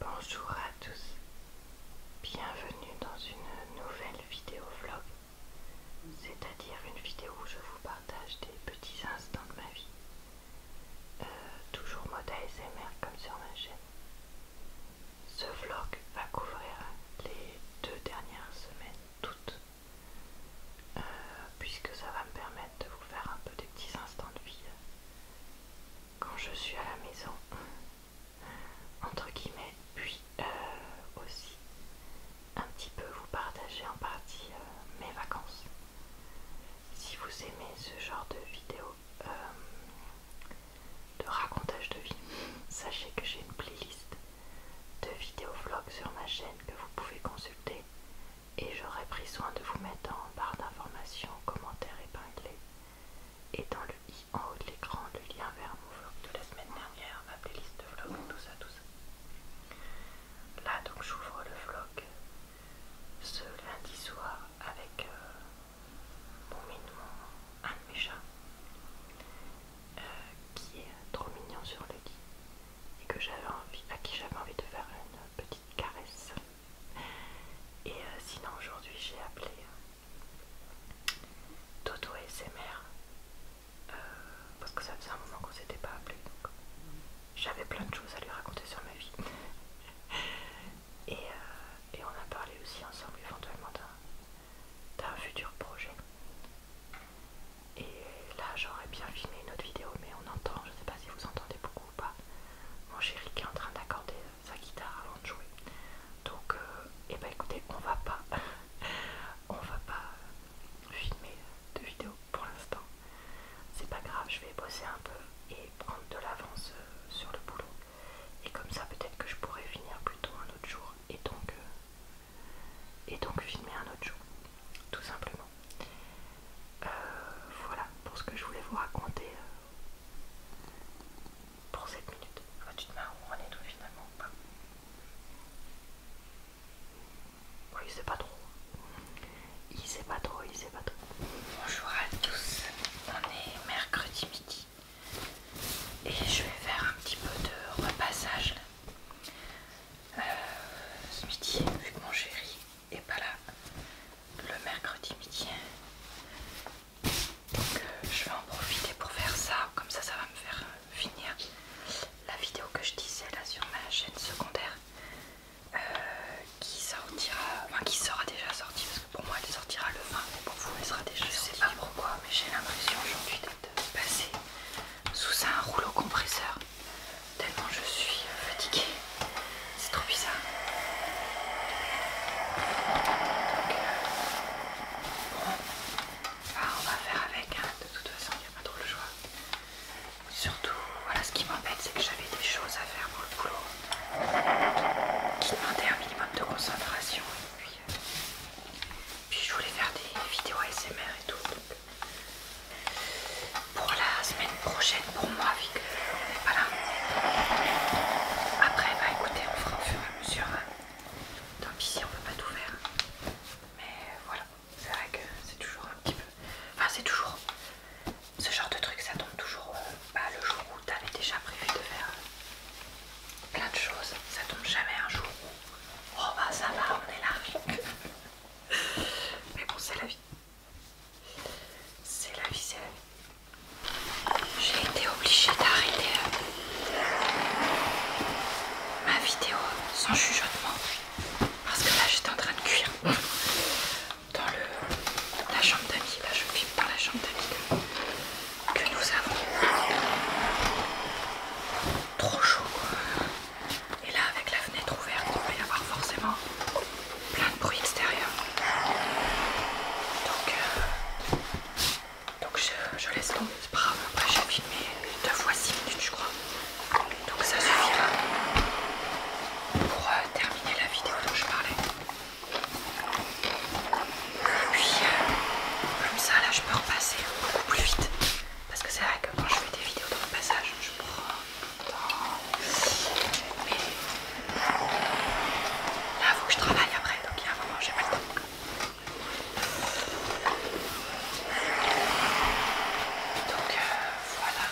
Bonjour à tous, bienvenue dans une nouvelle vidéo vlog, c'est-à-dire une vidéo où je vous partage des petits instants de ma vie, euh, toujours mode ASMR comme sur ma chaîne. Ce vlog va couvrir les deux dernières semaines toutes, euh, puisque ça va me permettre de vous faire un peu des petits instants de vie quand je suis à la maison, entre guillemets, puis euh, aussi un petit peu vous partager en partie euh, mes vacances. Si vous aimez ce genre de vidéo euh, de racontage de vie, sachez que j'ai une playlist de vidéos vlog sur ma chaîne que vous pouvez consulter et j'aurai pris soin de vous mettre en barre d'informations, commentaires épinglés et dans le i en haut de l'écran, le lien vers mon vlog de la semaine dernière, ma playlist de vlog, tout ça, tout ça. Là, donc, j'ouvre le vlog ce lundi soir avec euh, mon un de mes chats, euh, qui est trop mignon sur le lit et à qui j'avais envie de faire une petite caresse. Et euh, sinon aujourd'hui j'ai appelé euh, Toto et SMR euh, parce que ça faisait un moment qu'on s'était pas appelé donc j'avais plein de choses à lui raconter sur ma vie. et, on a parlé aussi ensemble éventuellement d'un futur projet. Et là j'aurais bien filmé une autre vidéo mais on entend, je ne sais pas si vous entendez beaucoup ou pas, mon chéri qui est en train d'accorder sa guitare avant de jouer. Donc, et euh, eh ben écoutez, on va pas, on va pas filmer de vidéo pour l'instant. C'est pas grave, je vais bosser un peu et prendre de l'avance euh, sur le boulot. Et comme ça, peut-être que je pourrais finir plutôt un autre jour et donc, euh, et donc filmer un autre jour, tout simplement. voilà pour ce que je voulais vous raconter pour cette minutes. tu te marres on est tout finalement pas. Il sait pas trop. Il sait pas trop, il sait pas trop. Bonjour à tous, on est mercredi midi et je vais faire un petit peu de repassage. Euh, ce midi, vu que mon chéri et pas là le mercredi midi. Donc euh, je vais en profiter pour faire ça, comme ça ça va me faire euh, finir la vidéo que je disais là sur ma chaîne secondaire euh, qui sortira, enfin qui sera déjà sortie parce que pour moi elle sortira le 20 mais pour vous elle sera déjà sortie. Je sais pas pourquoi mais j'ai l'impression aujourd'hui d'être passer sous un rouleau compresseur tellement je suis fatiguée. C'est trop bizarre. Euh, on va faire avec, hein. de toute façon, il n'y a pas trop le choix. Surtout, voilà ce qui m'embête, c'est que j'avais des choses à faire pour le boulot qui demandaient un minimum de concentration. Et puis, euh, je voulais faire des vidéos ASMR et tout. pour la semaine prochaine pour moi, vu que là Après, bah écoutez, on fera au fur et à mesure. Hein. Tant pis si on veut pas tout faire, mais voilà, c'est vrai que c'est toujours un petit peu. Enfin, c'est toujours ce genre de truc, ça tombe toujours euh, bah, le jour où t'avais déjà prévu de faire euh, plein de choses. Ça tombe jamais un jour où oh bah ça va, on est là. mais bon, c'est la vie c'est la viselle. J'ai été obligée d'arrêter euh, ma vidéo sans chuchotement parce que là j'étais en train de cuire dans la chambre d'amis. Là je filme dans la chambre d'amis que, nous avons. Trop chaud Et là avec la fenêtre ouverte il va y avoir forcément plein de bruit extérieur. Donc, euh, je, laisse tomber pas brave. Après, j'ai filmé deux fois six minutes, je crois. Donc, ça suffira pour euh, terminer la vidéo dont je parlais. Et puis, euh, comme ça, là, je peux repasser beaucoup plus vite. Parce que c'est vrai que quand je fais des vidéos dans le passage, je prends temps. là, il faut que je travaille après, donc il y a un moment, j'ai pas le temps. Donc euh, voilà.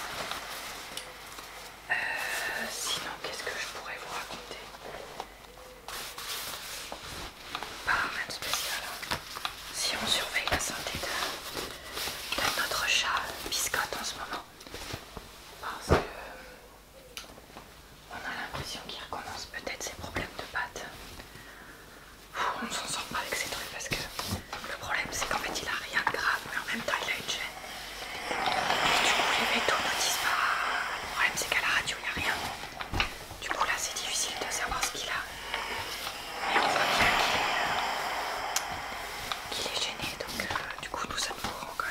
Euh, sinon, qu'est-ce que je pourrais vous raconter Pas rien spécial. Hein. Si on surveille la santé de notre chat biscotte en ce moment, parce que euh, on a l'impression qu'il recommence peut-être ses problèmes de pattes. On ne s'en sort pas avec ces trucs parce que le problème c'est qu'en fait il a rien de grave mais en même temps il a une gêne. du coup les métaux ne disent pas. Le problème c'est qu'à la radio il n'y a rien. Du coup là c'est difficile de savoir ce qu'il a. Mais on voit bien qu'il euh, est, gêné donc euh, du coup nous sommes quand quand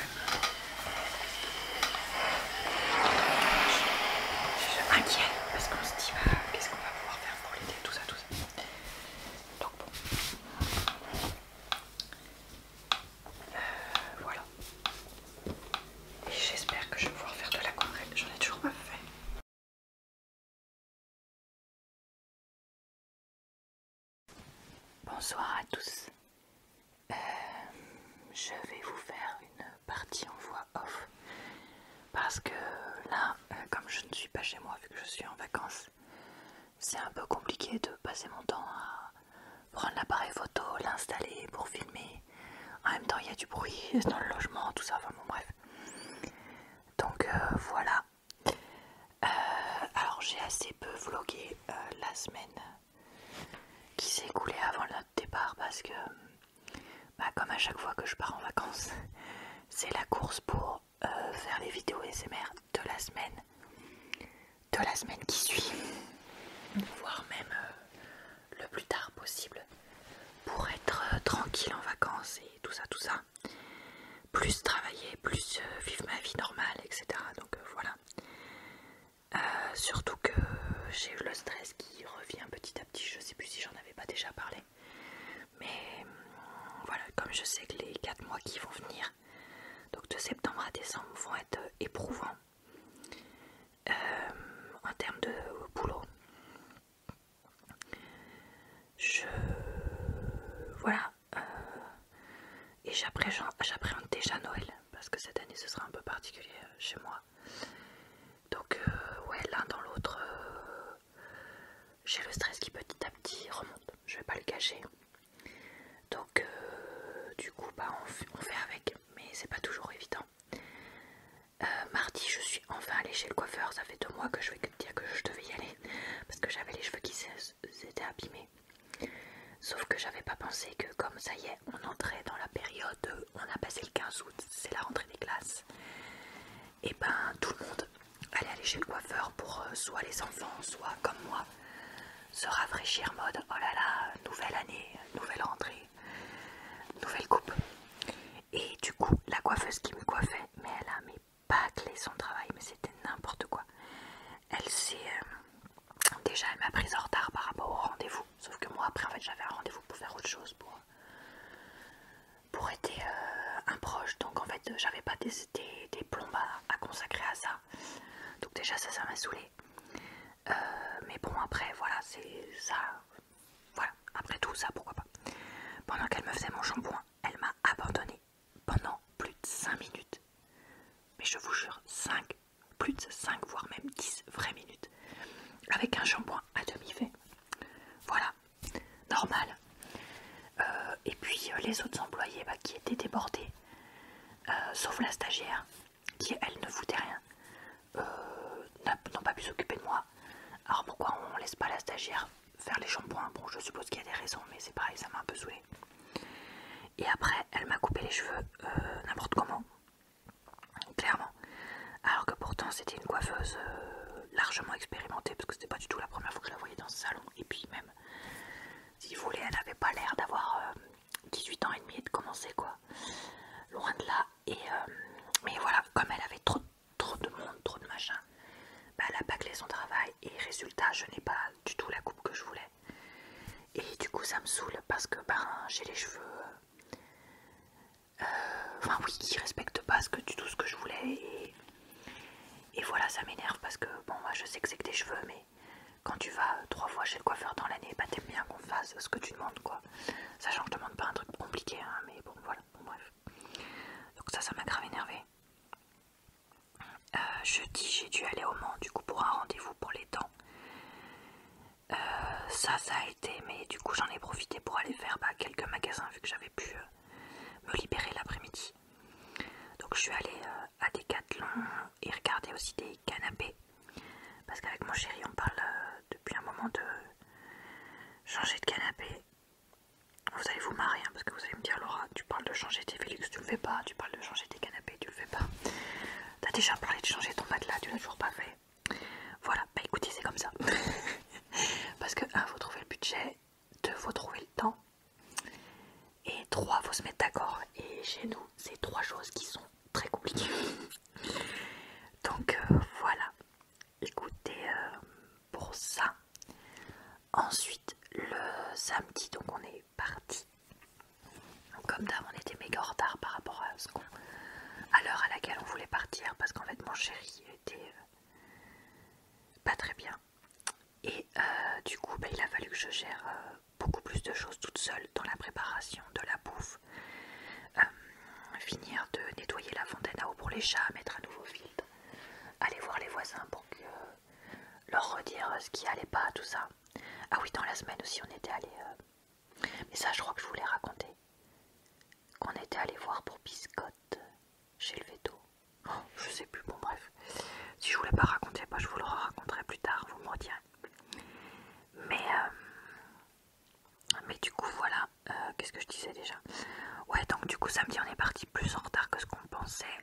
suis m'inquiète parce qu'on se dit bah, qu'est-ce qu'on va pouvoir faire pour l'été, tout ça, tout ça. Donc bon. Euh, voilà. Et j'espère que je vais pouvoir faire de l'aquarelle. J'en ai toujours pas fait. Bonsoir à tous. Euh, je vais vous faire une partie en voix off parce que là, euh, comme je ne suis pas chez moi vu que je suis en vacances, c'est un peu compliqué de passer mon temps à prendre l'appareil photo, l'installer pour filmer. En même temps, il y a du bruit dans le logement, tout ça, enfin bon bref. Donc euh, voilà, euh, alors j'ai assez peu vlogué euh, la semaine qui s'est écoulée avant le départ parce que bah, comme à chaque fois que je pars en vacances c'est la course pour euh, faire les vidéos SMR de la semaine de la semaine qui suit voire même le plus tard possible pour être tranquille en vacances et tout ça tout ça plus travailler, plus euh, vivre ma vie normale, etc. Donc euh, voilà. Euh, surtout que j'ai eu le stress qui revient petit à petit, je sais plus si j'en avais pas déjà parlé. Mais hum, voilà, comme je sais que les 4 mois qui vont venir, donc de septembre à décembre, vont être éprouvants en termes de boulot. Je. Voilà, euh, et j'appréhende déjà Noël parce que cette année ce sera un peu particulier euh, chez moi. Donc euh, ouais, l'un dans l'autre, j'ai le stress qui petit à petit remonte. Je vais pas le cacher. Donc du coup, bah on, fait avec, mais c'est pas toujours évident. mardi, je suis enfin allée chez le coiffeur. Ça fait deux mois que je vais dire que je devais y aller parce que j'avais les cheveux qui c'était abîmé. Sauf que j'avais pas pensé que comme ça y est, on entrait dans la période, on a passé le 15 août, c'est la rentrée des classes, et eh ben tout le monde allait aller chez le coiffeur pour euh, soit les enfants, soit comme moi, se rafraîchir mode oh là là, nouvelle année, nouvelle rentrée, nouvelle coupe. Et du coup, la coiffeuse qui me coiffait, mais elle a mes pas bâclé son travail, mais c'était n'importe quoi. Elle s'est. Euh, déjà, elle m'a pris en retard par rapport au rendez-vous. Sauf que moi, après, en fait, j'avais un rendez-vous pour faire autre chose, pour, pour être euh, un proche. Donc, en fait, j'avais pas des, des, plombes à, consacrer à ça. Donc, déjà, ça, ça m'a saoulé. Euh, mais bon, après, voilà, c'est ça. Voilà, après tout ça, pourquoi pas. Pendant qu'elle me faisait mon shampoing, elle m'a abandonné pendant plus de 5 minutes. Mais je vous jure, 5, plus de 5, voire même 10 vraies minutes. Avec un shampoing à demi fait. Voilà, normal. Euh, et puis euh, les autres employés bah, qui étaient débordés, euh, sauf la stagiaire, qui elle ne foutait rien, n'ont pas pu s'occuper de moi. Alors pourquoi on laisse pas la stagiaire faire les shampoings Bon, je suppose qu'il y a des raisons, mais c'est pareil, ça m'a un peu saoulé. Et après, elle m'a coupé les cheveux euh, n'importe comment, clairement. Alors que pourtant, c'était une coiffeuse euh, largement expérimentée, parce que c'était pas du tout la première fois que je la voyais dans ce salon. Et puis, même, si vous voulez, elle n'avait pas l'air d'avoir 18 euh, ans et demi et de commencer, quoi. Loin de là. Et, mais voilà, comme elle avait trop, trop de monde, trop de machin, bah, elle a bâclé son travail et résultat je n'ai pas du tout la coupe que je voulais et du coup ça me saoule parce que ben, j'ai les cheveux euh, enfin oui qui respectent pas ce que, du tout ce que je voulais et, voilà ça m'énerve parce que bon moi je sais que c'est que des cheveux mais quand tu vas trois fois chez le coiffeur dans l'année bah t'aimes bien qu'on fasse ce que tu demandes quoi sachant que je demande pas un truc compliqué hein, mais bon voilà bref donc ça ça m'a grave énervé euh, jeudi, j'ai dû aller au Mans du coup pour un rendez-vous pour les dents. Euh, ça, ça a été, mais du coup j'en ai profité pour aller faire bah, quelques magasins vu que j'avais pu euh, me libérer l'après-midi. Donc je suis allée à Decathlon et regarder aussi des canapés parce qu'avec mon chéri on parle depuis un moment de changer de canapé vous allez vous marrer hein, parce que vous allez me dire Laura tu parles de changer tes Félix tu le fais pas tu parles de changer tes canapés tu le fais pas t'as déjà parlé de changer ton matelas tu l'as toujours pas fait voilà bah écoutez c'est comme ça parce que un, faut trouver le budget deux, faut trouver le temps et trois, faut se mettre d'accord et chez nous c'est trois choses qui sont très compliquées donc euh, voilà écoutez euh, pour ça Ensuite, le samedi, donc on est parti. Comme d'hab, on était méga en retard par rapport à ce l'heure à laquelle on voulait partir parce qu'en fait mon chéri était euh, pas très bien et euh, du coup bah, il a fallu que je gère euh, beaucoup plus de choses toute seule dans la préparation de la bouffe finir de nettoyer la fontaine à eau pour les chats mettre un nouveau filtre aller voir les voisins pour que leur redire euh, ce qui allait pas, tout ça. Ah oui, dans la semaine aussi, on était allé. Euh, mais ça, je crois que je voulais raconter raconté. Qu'on était allé voir pour Biscotte chez le veto. Oh, je sais plus, bon, bref. Si je vous pas raconter bah, je vous le raconterai plus tard, vous me redirez. Mais, euh, mais du coup, voilà. Qu'est-ce que je disais déjà Ouais, donc du coup, samedi, on est parti plus en retard que ce qu'on pensait.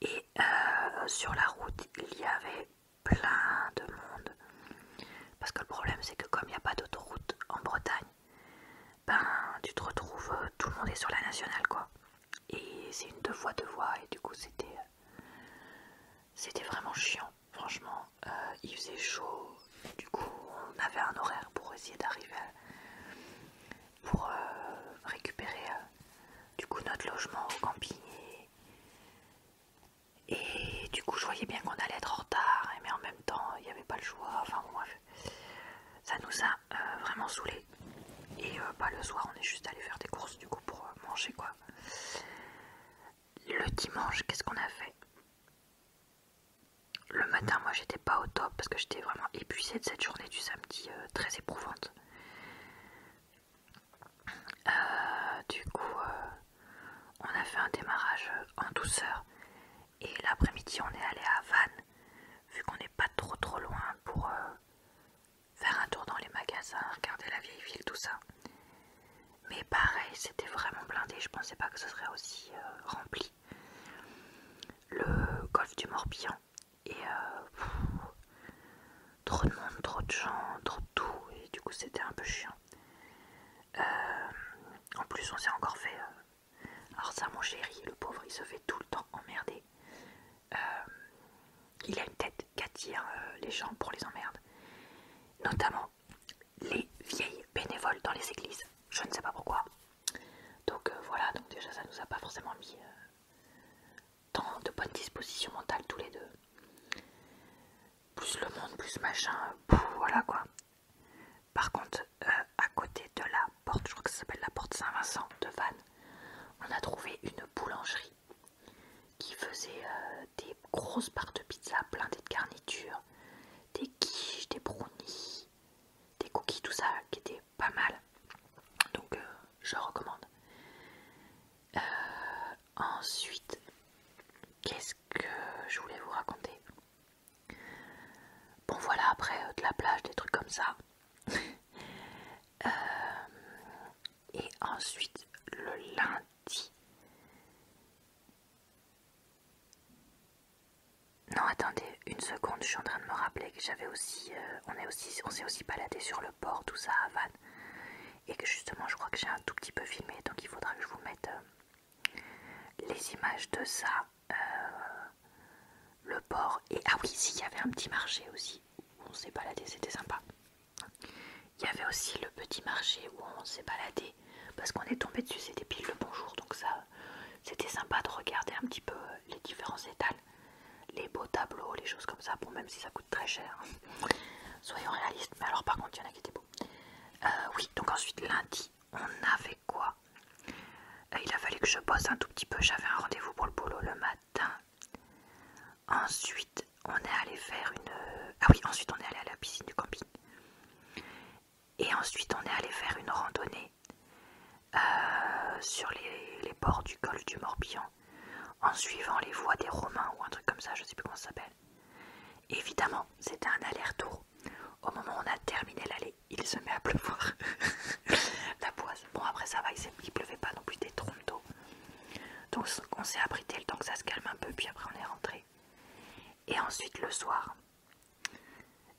Et euh, sur la route, il y avait plein de monde. Parce que le problème, c'est que comme il n'y a pas d'autoroute en Bretagne, ben tu te retrouves, euh, tout le monde est sur la nationale quoi. Et c'est une deux fois deux voies et du coup c'était euh, c'était vraiment chiant. Franchement, il faisait chaud. Du coup, on avait un horaire pour essayer d'arriver pour euh, récupérer euh, du coup notre logement au camping et, du coup je voyais bien qu'on allait être en retard hein, mais en même temps il n'y avait pas le choix enfin bon bref ça nous a euh, vraiment saoulé et pas le soir on est juste allé faire des courses du coup pour manger quoi le dimanche qu'est ce qu'on a fait le matin moi j'étais pas au top parce que j'étais vraiment épuisée de cette journée du samedi euh, très éprouvante. Euh, du coup, euh, on a fait un démarrage en douceur et l'après-midi, on est allé à Vannes vu qu'on n'est pas trop trop loin pour faire un tour dans les magasins, regarder la vieille ville, tout ça. Mais pareil, c'était vraiment blindé, je pensais pas que ce serait aussi rempli. Le golfe du Morbihan, et euh, trop de monde, trop de gens, trop de tout. Et du coup, c'était un peu chiant. Euh, en plus, on s'est encore fait. Euh, alors, ça, mon chéri, le pauvre, il se fait tout le temps emmerder. il a une tête qu'attire les gens pour les emmerder. Notamment les vieilles bénévoles dans les églises. Je ne sais pas pourquoi. Donc voilà, donc déjà ça nous a pas forcément mis Tant de bonnes dispositions mentales tous les deux. Plus le monde, plus machin, voilà quoi. Par contre, euh, à côté de la porte, je crois que ça s'appelle la porte Saint-Vincent de Vannes, on a trouvé une boulangerie qui faisait euh, des grosses barres de pizza pleines de garnitures, des quiches, des brownies, des cookies, tout ça qui était pas mal. Donc euh, je recommande. Euh, ensuite, qu'est-ce que je voulais vous raconter Bon voilà, après euh, de la plage, des trucs comme ça. et ensuite, le lundi. Non, attendez une seconde, je suis en train de me rappeler que j'avais aussi, euh, on est aussi, on s'est aussi baladé sur le port, tout ça à Havane, et que justement, je crois que j'ai un tout petit peu filmé, donc il faudra que je vous mette euh, les images de ça, euh, le port, et ah oui, s'il y avait un petit marché aussi on s'est baladé, c'était sympa. Il y avait aussi le petit marché où on s'est baladé parce qu'on est tombé dessus, c'était pile le bonjour, donc ça, c'était sympa de regarder un petit peu euh, les différents étals, les beaux tableaux, les choses comme ça, bon même si ça coûte très cher, soyons réalistes, mais alors par contre il y en a qui étaient beaux. Euh, oui, donc ensuite lundi, on avait quoi euh, Il a fallu que je bosse un tout petit peu, j'avais un rendez-vous pour le boulot le matin. Ensuite, on est allé faire une... Ah oui, ensuite on est allé à la piscine du camping. Et ensuite, on est allé faire une randonnée euh, sur les, bords du golfe du Morbihan, en suivant les voies des Romains ou un truc comme ça, je sais plus comment ça s'appelle. Évidemment, c'était un aller-retour. Au moment où on a terminé l'allée, il se met à pleuvoir. La poisse. Bon, après ça va, il pleuvait pas non plus des trombes d'eau. Donc on s'est abrité le temps que ça se calme un peu, puis après on est rentré. Et ensuite le soir,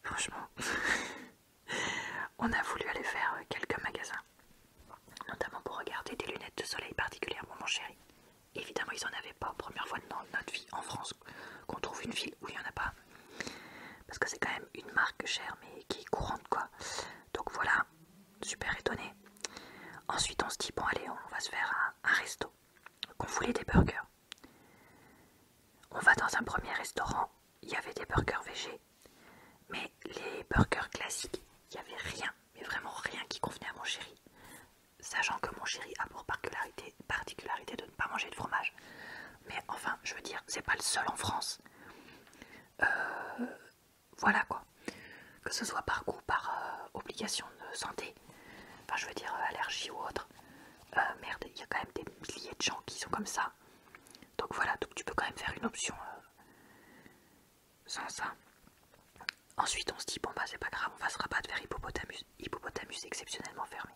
franchement, on a voulu aller faire euh, quelques magasins, notamment pour regarder des lunettes de soleil particulièrement mon chéri. Évidemment, ils n'en avaient pas, première fois dans notre vie en France qu'on trouve une ville où il n'y en a pas. Parce que c'est quand même une marque chère mais qui est courante quoi. Donc voilà, super étonné. Ensuite on se dit bon allez on va se faire un, un resto. Qu'on voulait des burgers. On va dans un premier restaurant il y avait des burgers végés, mais les burgers classiques, il n'y avait rien, mais vraiment rien qui convenait à mon chéri. Sachant que mon chéri a pour particularité, de ne pas manger de fromage. Mais enfin, je veux dire, c'est pas le seul en France. Euh, voilà quoi. Que ce soit par goût, par euh, obligation de santé, enfin je veux dire euh, allergie ou autre. merde, il y a quand même des milliers de gens qui sont comme ça. Donc voilà, donc tu peux quand même faire une option euh, sans ça. Ensuite on se dit bon bah c'est pas grave, on va pas de faire hippopotamus, hippopotamus exceptionnellement fermé.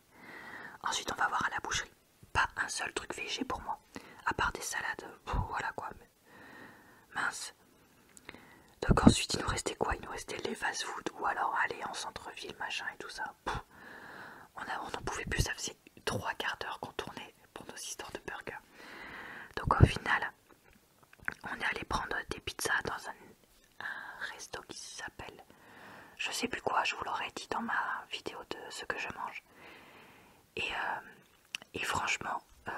Ensuite on va voir à la boucherie. Pas un seul truc végé pour moi, à part des salades, euh, voilà quoi. Mince. Donc ensuite il nous restait quoi Il nous restait les fast food ou alors aller en centre-ville machin et tout ça. on n'en pouvait plus, ça trois quarts d'heure qu'on tournait pour nos histoires de burger. Donc au final, on est allé prendre des pizzas dans un, resto qui s'appelle je sais plus quoi, je vous l'aurais dit dans ma vidéo de ce que je mange. Et, euh, franchement, euh,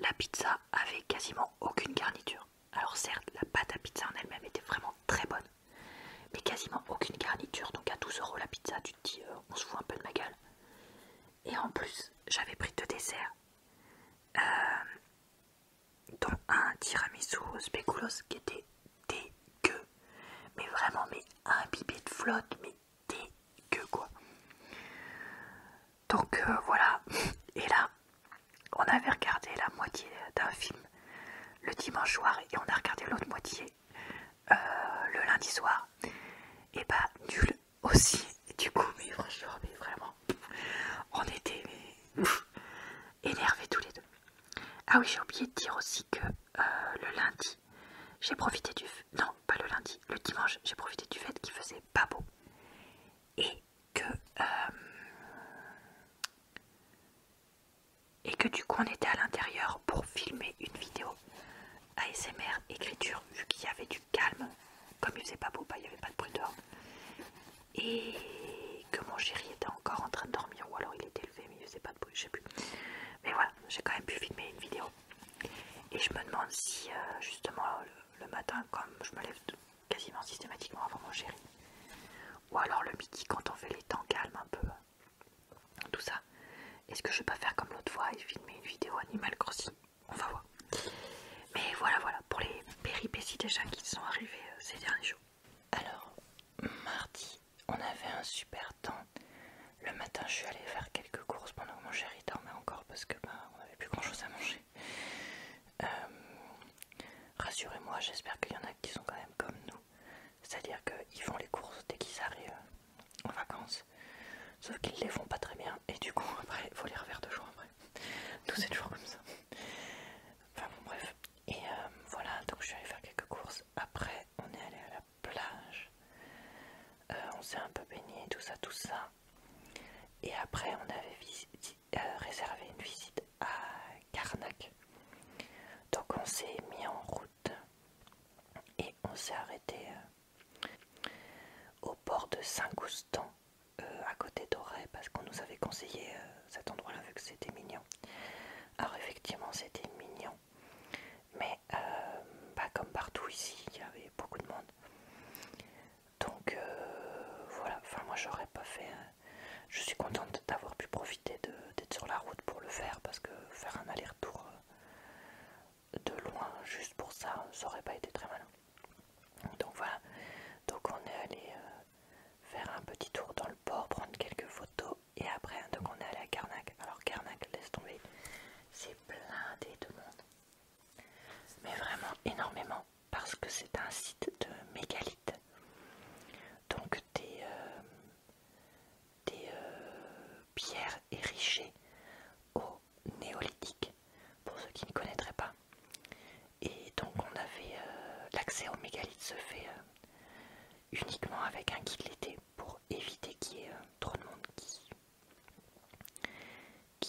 la pizza avait quasiment aucune garniture. Alors certes, la pâte à pizza en elle-même était vraiment très bonne mais quasiment aucune garniture. Donc à 12 euros la pizza, tu te dis, euh, on se fout un peu de ma gueule. Et en plus, j'avais pris deux desserts, euh, dont un tiramisu spéculos qui était dégueu, mais vraiment, mais imbibé de flotte, mais dégueu quoi. Donc euh, voilà, et là, on avait regardé la moitié d'un film le dimanche soir et on a regardé l'autre moitié euh, le lundi soir et bah nul aussi du coup mais franchement vraiment on était énervés tous les deux ah oui j'ai oublié de dire aussi que euh, le lundi j'ai profité du non pas le lundi le dimanche j'ai profité du fait qu'il faisait pas beau et que euh, et que du coup on était à l'intérieur pour filmer une vidéo ASMR écriture vu qu'il y avait du calme comme il faisait pas beau, bah, il y avait pas de bruit dehors et que mon chéri était encore en train de dormir ou alors il était levé mais il faisait pas de bruit, je sais plus mais voilà, j'ai quand même pu filmer une vidéo et je me demande si euh, justement le matin comme je me lève quasiment systématiquement avant mon chéri ou alors le midi quand on fait les temps calmes un peu tout ça. Est-ce que je vais pas faire comme l'autre fois et filmer une vidéo Animal grossi On va voir. Mais voilà, voilà, pour les péripéties déjà qui sont arrivés euh, ces derniers jours. Alors, mardi, on avait un super temps. Le matin, je suis allée faire quelques courses pendant que mon chéri dormait encore parce que bah, on avait plus grand chose à manger. Euh, rassurez-moi, j'espère qu'il y en a qui sont quand même comme nous c'est-à-dire qu'ils font les courses dès qu'ils arrivent euh, en vacances. Sauf qu'ils les font pas très bien et du coup après il faut les refaire deux jours après. Tous c'est jours comme ça. Enfin bon bref. Et euh, voilà, donc je suis allée faire quelques courses. Après on est allé à la plage. Euh, on s'est un peu baigné, tout ça, tout ça. Et après on avait réservé une visite à Karnak. Donc on s'est mis en route et on s'est arrêté euh, au port de saint goustan euh, à côté d'Auray parce qu'on nous avait conseillé euh, cet endroit là vu que c'était mignon alors effectivement c'était mignon mais pas comme partout ici il y avait beaucoup de monde donc voilà enfin moi j'aurais pas fait hein. je suis contente d'avoir pu profiter de Peut-être sur la route pour le faire parce que faire un aller-retour euh, de loin juste pour ça, ça aurait pas été très malin. Donc voilà, donc on est allé euh, faire un petit tour dans le port, prendre quelques photos et après donc on est allé à Carnac. Alors Carnac, laisse tomber, c'est plein de monde, mais vraiment énormément parce que c'est un site de mégalithes. Donc des, euh, des euh, pierres érigées au néolithique, pour ceux qui ne connaîtraient pas. Et donc on avait euh, l'accès aux mégalithes se fait euh, uniquement avec un guide l'été pour éviter qu'il y ait trop de monde qui,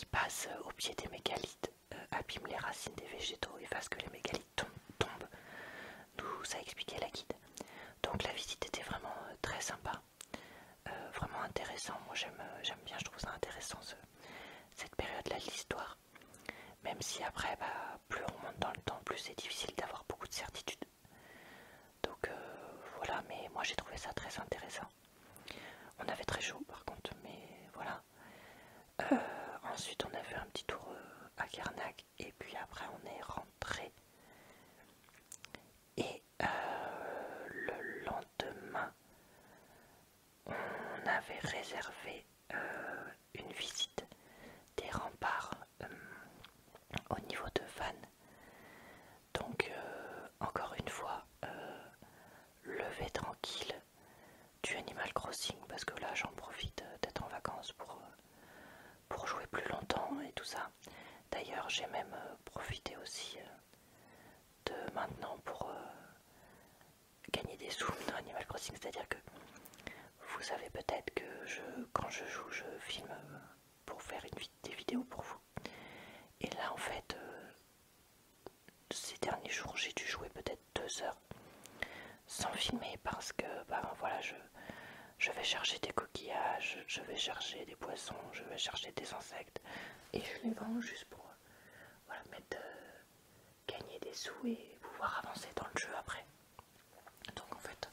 passe au pied des mégalithes, abîme les racines des végétaux et fasse que les mégalithes tombent. d'où ça expliquait la guide. Donc la visite était vraiment euh, très sympa, euh, vraiment intéressant. Moi euh, j'aime bien, je trouve ça intéressant cette période-là de l'histoire. Même si après, bah, plus on monte dans le temps, plus c'est difficile d'avoir beaucoup de certitudes. Donc voilà, mais moi j'ai trouvé ça très intéressant. On avait très chaud par contre, mais voilà. ensuite on a fait un petit tour à Carnac et puis après on est rentré et euh, le lendemain on avait réservé euh, une visite des remparts euh, au niveau de Vannes donc encore une fois levé tranquille du Animal Crossing parce que là j'en profite d'être en vacances pour pour jouer plus longtemps et tout ça. D'ailleurs, j'ai même euh, profité aussi euh, de maintenant pour euh, gagner des sous dans Animal Crossing, c'est-à-dire que vous savez peut-être que quand je joue, je filme pour faire des vidéos pour vous. Et là, en fait, ces derniers jours, j'ai dû jouer peut-être deux heures sans filmer parce que bah voilà je, vais chercher des coquillages, je vais chercher des poissons, je vais chercher des insectes et je les vends juste pour euh, gagner des sous et pouvoir avancer dans le jeu après. Donc en fait,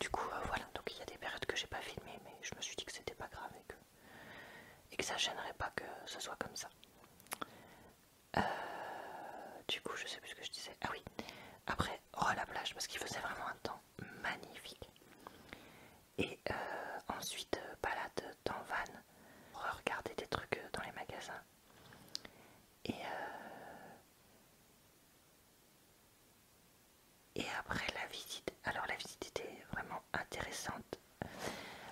du coup euh, voilà, donc il y a des périodes que j'ai pas filmé mais je me suis dit que c'était pas grave et que, ça gênerait pas que ce soit comme ça. Euh, du coup je sais plus ce que je disais. Ah oui, après, oh la plage, parce qu'il faisait vraiment un temps magnifique. Et euh, ensuite, euh, balade dans Van, regarder des trucs euh, dans les magasins. Et, et après la visite, alors la visite était vraiment intéressante.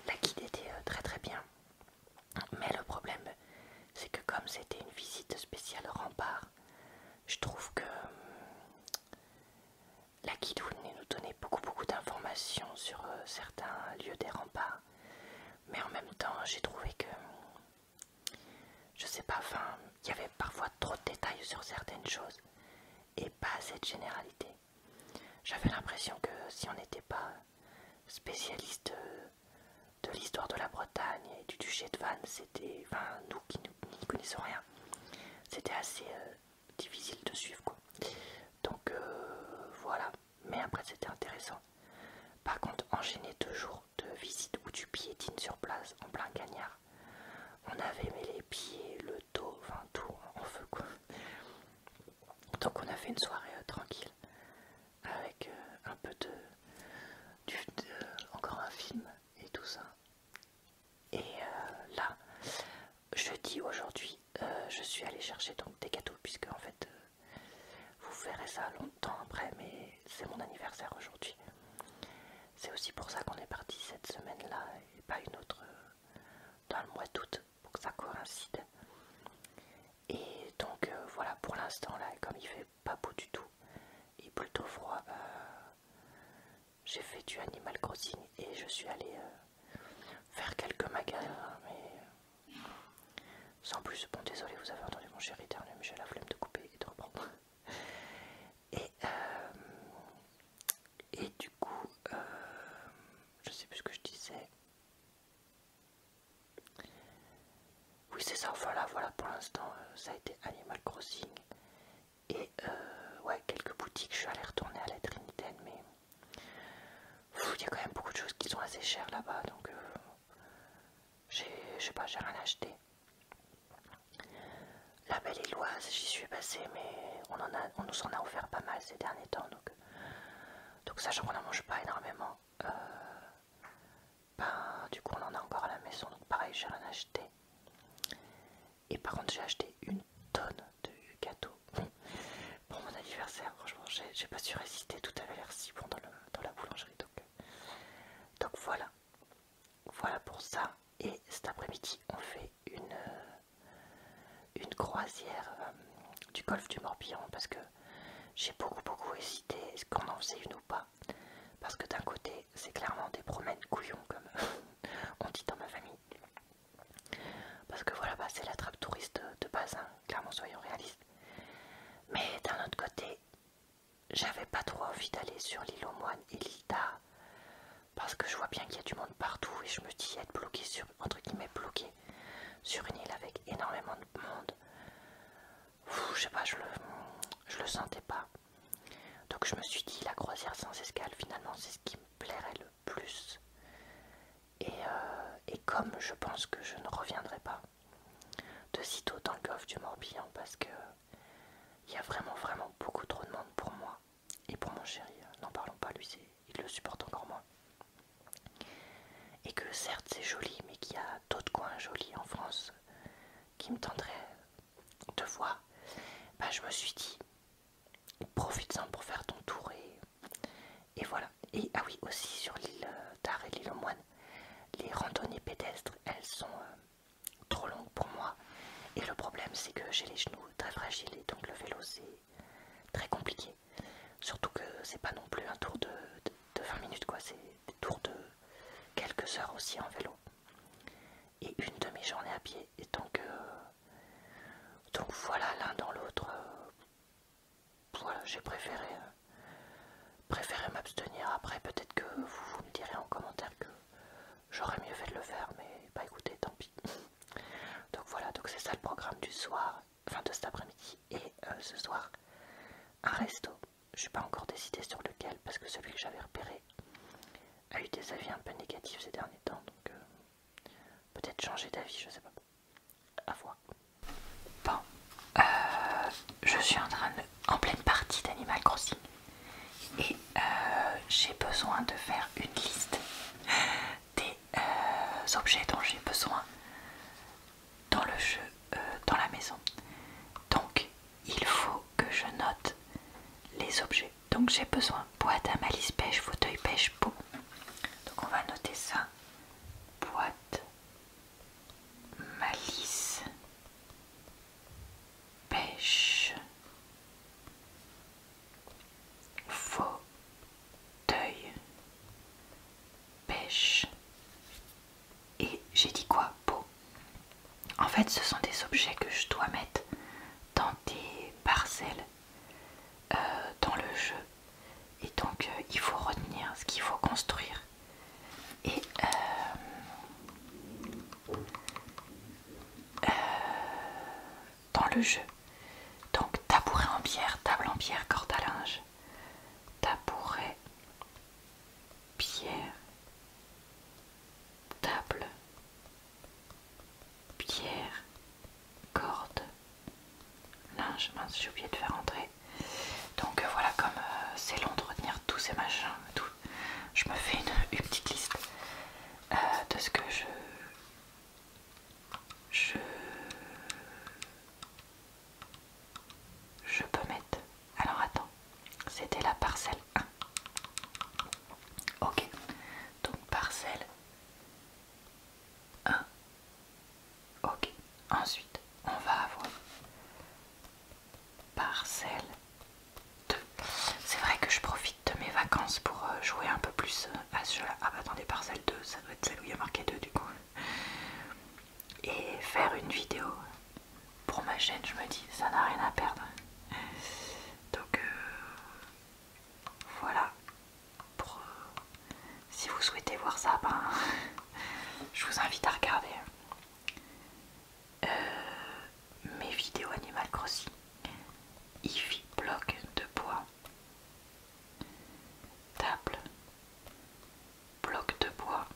La guide était très très bien. Mais le problème, c'est que comme c'était une visite spéciale rempart, je trouve que hum, la guidoune nous donnait beaucoup beaucoup d'informations sur euh, certains lieux des remparts. Mais en même temps, j'ai trouvé que, hum, je sais pas, enfin, il y avait parfois trop de détails sur certaines choses et pas assez de généralité. J'avais l'impression que si on n'était pas spécialiste euh, de l'histoire de la Bretagne et du duché de Vannes, c'était, enfin, nous qui ne connaissons rien, c'était assez euh, difficile de suivre quoi. Donc euh, voilà, mais après c'était intéressant. Par contre, enchaîner deux jours de visites ou du piétines sur place en plein cagnard, on avait mis les pieds, le dos, enfin tout en feu quoi. Donc on a fait une soirée euh, tranquille avec euh, un peu de, encore un film et tout ça. Et là euh, là, jeudi aujourd'hui, euh, je suis allée chercher donc des gâteaux puisque en fait, vous verrez ça longtemps après, mais c'est mon anniversaire aujourd'hui. C'est aussi pour ça qu'on est parti cette semaine-là et pas une autre dans le mois d'août pour que ça coïncide. Et donc voilà pour l'instant là, comme il fait pas beau du tout il et plutôt froid. Bah, j'ai fait du Animal Crossing et je suis allé euh, faire quelques magasins, mais sans plus. Bon, désolé, vous avez entendu mon chéri éternel mais j'ai la flemme de couper et de reprendre. Et, euh, du coup, euh, je sais plus ce que je disais. Oui c'est ça, voilà, voilà pour l'instant euh, ça a été Animal Crossing. Et euh, ouais, quelques boutiques, je suis allée retourner à la Trinitaine, mais il y a quand même beaucoup de choses qui sont assez chères là-bas, donc euh, je sais pas, j'ai rien acheté. La belle Éloise, j'y suis passée, mais on, en a, nous en a offert pas mal ces derniers temps, donc, donc sachant qu'on n'en mange pas énormément, ben, du coup on en a encore à la maison, donc pareil j'ai rien acheté. Et par contre j'ai acheté une tonne de gâteaux pour mon anniversaire, franchement j'ai pas su résister, tout à l'air si bon dans, la boulangerie. Euh, donc, voilà, voilà pour ça. Et cet après-midi on fait une, euh, une croisière euh, du golfe du Morbihan parce que j'ai beaucoup beaucoup hésité, est-ce qu'on en faisait une ou pas parce que d'un côté, c'est clairement des promènes couillons, comme on dit dans ma famille. Parce que voilà, bah, c'est la trappe touriste de base, hein, clairement, soyons réalistes. Mais d'un autre côté, j'avais pas trop envie d'aller sur l'île aux moines et l'île parce que je vois bien qu'il y a du monde partout et je me dis être bloqué sur, entre bloqué sur une île avec énormément de monde je sais pas, je le, sentais pas. Donc je me suis dit, la croisière sans escale, finalement, c'est ce qui me plairait le plus. Et, euh, comme je pense que je ne reviendrai pas de sitôt dans le golf du Morbihan, parce que il y a vraiment, vraiment beaucoup trop de monde pour moi et pour mon chéri, euh, n'en parlons pas, lui, il le supporte encore moins. Et que certes, c'est joli, mais qu'il y a d'autres coins jolis en France qui me tendrait de voir, bah, je me suis dit, profite-en pour faire ton tour et, voilà. Et ah oui, aussi sur l'île euh, d'Ar et l'île aux moines, les randonnées pédestres, elles sont euh, trop longues pour moi. Et le problème, c'est que j'ai les genoux très fragiles et donc le vélo, c'est très compliqué. Surtout que c'est pas non plus un tour de de 20 minutes quoi, c'est des tours de quelques heures aussi en vélo et une demi-journée à pied et donc, euh, donc voilà l'un dans l'autre euh, voilà j'ai préféré euh, préféré m'abstenir après peut-être que vous, me direz en commentaire que j'aurais mieux fait de le faire mais bah écoutez tant pis donc voilà donc c'est ça le programme du soir enfin de cet après-midi et ce soir un resto je suis pas encore décidé sur lequel parce que celui que j'avais repéré a eu des avis un peu négatifs ces derniers temps donc euh, peut-être changer d'avis je sais pas à voir bon euh, je suis en train en pleine partie d'animal crossing et euh, j'ai besoin de faire une liste des objets dont j'ai besoin dans le jeu, euh, dans la maison. Donc, il faut que je note les objets. Donc, j'ai besoin boîte à malice pêche, fauteuil pêche, beau. Donc, on va noter ça. Boîte, malice, pêche, fauteuil, pêche, et j'ai dit quoi Beau. En fait, ce sont des objets que je dois mettre dans des parcelles euh, dans le jeu. Et donc, euh, il faut retenir ce qu'il faut construire. Et euh, dans le jeu. Donc, tabouret en pierre, table en pierre, corde à linge. Tabouret pierre, table, pierre, corde, linge, mince j'ai oublié de faire entrer. Donc euh, voilà, comme euh, c'est long de retenir tous ces machins, tout, je me fais une, petite liste euh, de ce que je... Je je peux mettre... Alors attends, c'était la parcelle 1. Ok, donc parcelle 1. Ok, ensuite on va avoir parcelle 2. C'est vrai que je profite de mes vacances pour euh, jouer un peu plus euh, à ce Ah bah attendez, parcelle 2, ça doit être celle où il y a marqué 2 du coup et faire une vidéo pour ma chaîne, je me dis ça n'a rien à perdre. Donc euh, voilà. Pour, euh, si vous souhaitez voir ça, ben, je vous invite à regarder hein. euh, mes vidéos Animal Crossing, fit bloc de bois, table, bloc de bois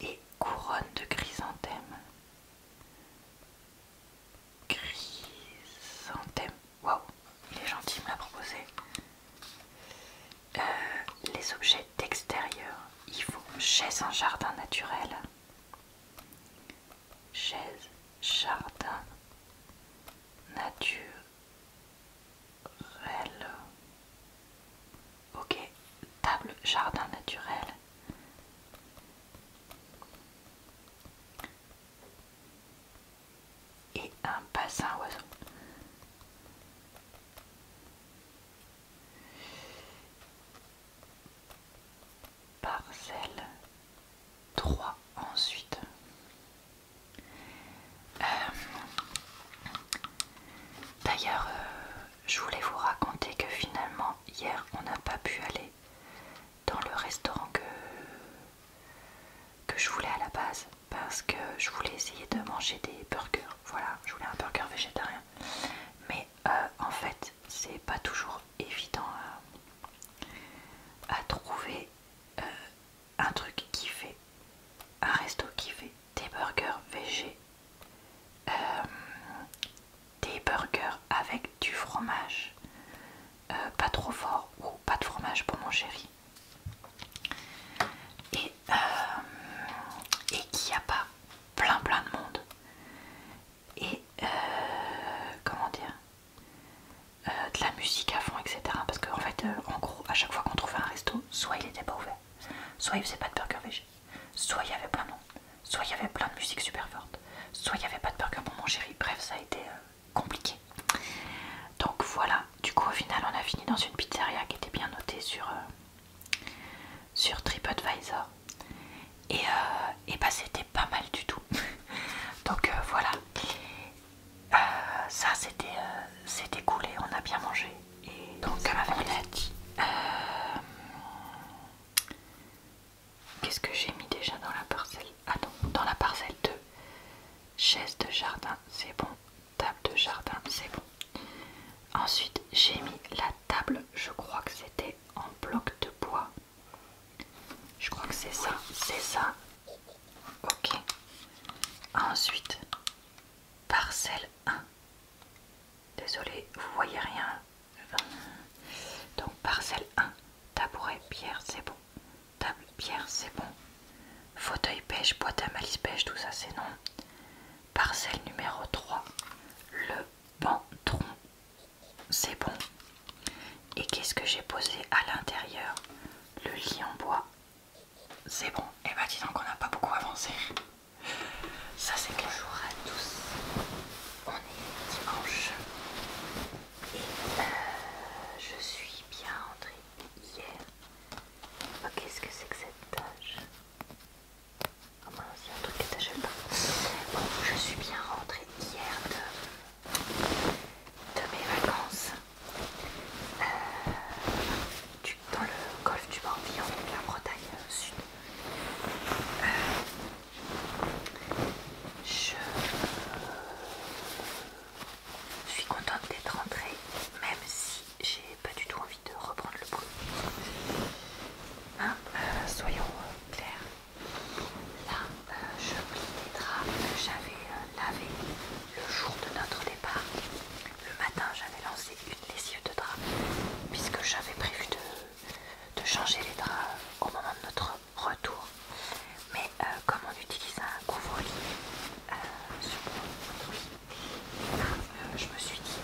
et couronne de chrysanthème. Chrysanthème, waouh, il est gentil, il me l'a proposé. Euh, les objets d'extérieur, il faut chaise en jardin naturel. Chaise, jardin, nature, Ok, table jardin naturel. Et un bassin oiseau. Parcelle 3 ensuite. Euh, d'ailleurs, euh, je voulais vous raconter que finalement, hier, on n'a pas pu aller dans le restaurant que, que je voulais à la base parce que je voulais essayer de manger des burgers. Voilà, je voulais un burger végétarien. Mais euh, en fait, c'est pas toujours évident à, trouver un truc fait, un resto qui fait, des burgers végés euh, des burgers avec du fromage, euh, pas trop fort ou pas de fromage pour mon chéri, et, euh, et qu'il a pas plein plein de monde. Et comment dire de la musique à fond, etc. Parce qu'en en fait, en gros, à chaque fois qu'on trouvait un resto, soit il était pas ouvert, soit il faisait pas de burger végé, soit il y avait plein de noms, soit il y avait plein de musique super forte, soit il n'y avait pas de burger pour mon chéri. Bref, ça a été euh, compliqué. Donc voilà, du coup, au final, on a fini dans une pizzeria qui était bien notée sur, euh, sur TripAdvisor. Euh, et, bah, c'était pas mal du tout. Donc voilà. Euh, ça c'était euh, coulé on a bien mangé. Et donc à a dit. Qu'est-ce que j'ai mis déjà dans la parcelle Ah non, dans la parcelle 2. Chaise de jardin, c'est bon. Table de jardin, c'est bon. Ensuite, j'ai mis la table, je crois que c'était en bloc de bois. Je crois que c'est ça, c'est ça. Ok. Ensuite, parcelle 1. Désolé, vous voyez rien. Donc parcelle 1, tabouret, pierre, c'est bon. Table, pierre, c'est bon. Fauteuil pêche, boîte à malice pêche, tout ça c'est non. Parcelle numéro 3, le bantron, c'est bon. Et qu'est-ce que j'ai posé à l'intérieur Le lit en bois, c'est bon, et bah ben, dis donc on n'a pas beaucoup avancé. Ça c'est que jour à tous. On est dimanche. Et euh, je suis bien rentrée hier. Oh, qu'est-ce que c'est que cette tâche Oh mince, un truc qui t'a pas. Bon, je suis bien rentrée hier de, de mes vacances. Euh, dans le golfe du Morbihan, de la Bretagne Sud. Euh, je suis contente d'être rentrée, même si j'ai pas du tout envie de reprendre le bruit. Hein, euh, soyons clairs. Là, je plie les draps que j'avais lavé le jour de notre départ le matin j'avais lancé une lessive de drap puisque j'avais prévu de, changer les draps au moment de notre retour mais euh, comme on utilise un couvre-lit euh, euh, je me suis dit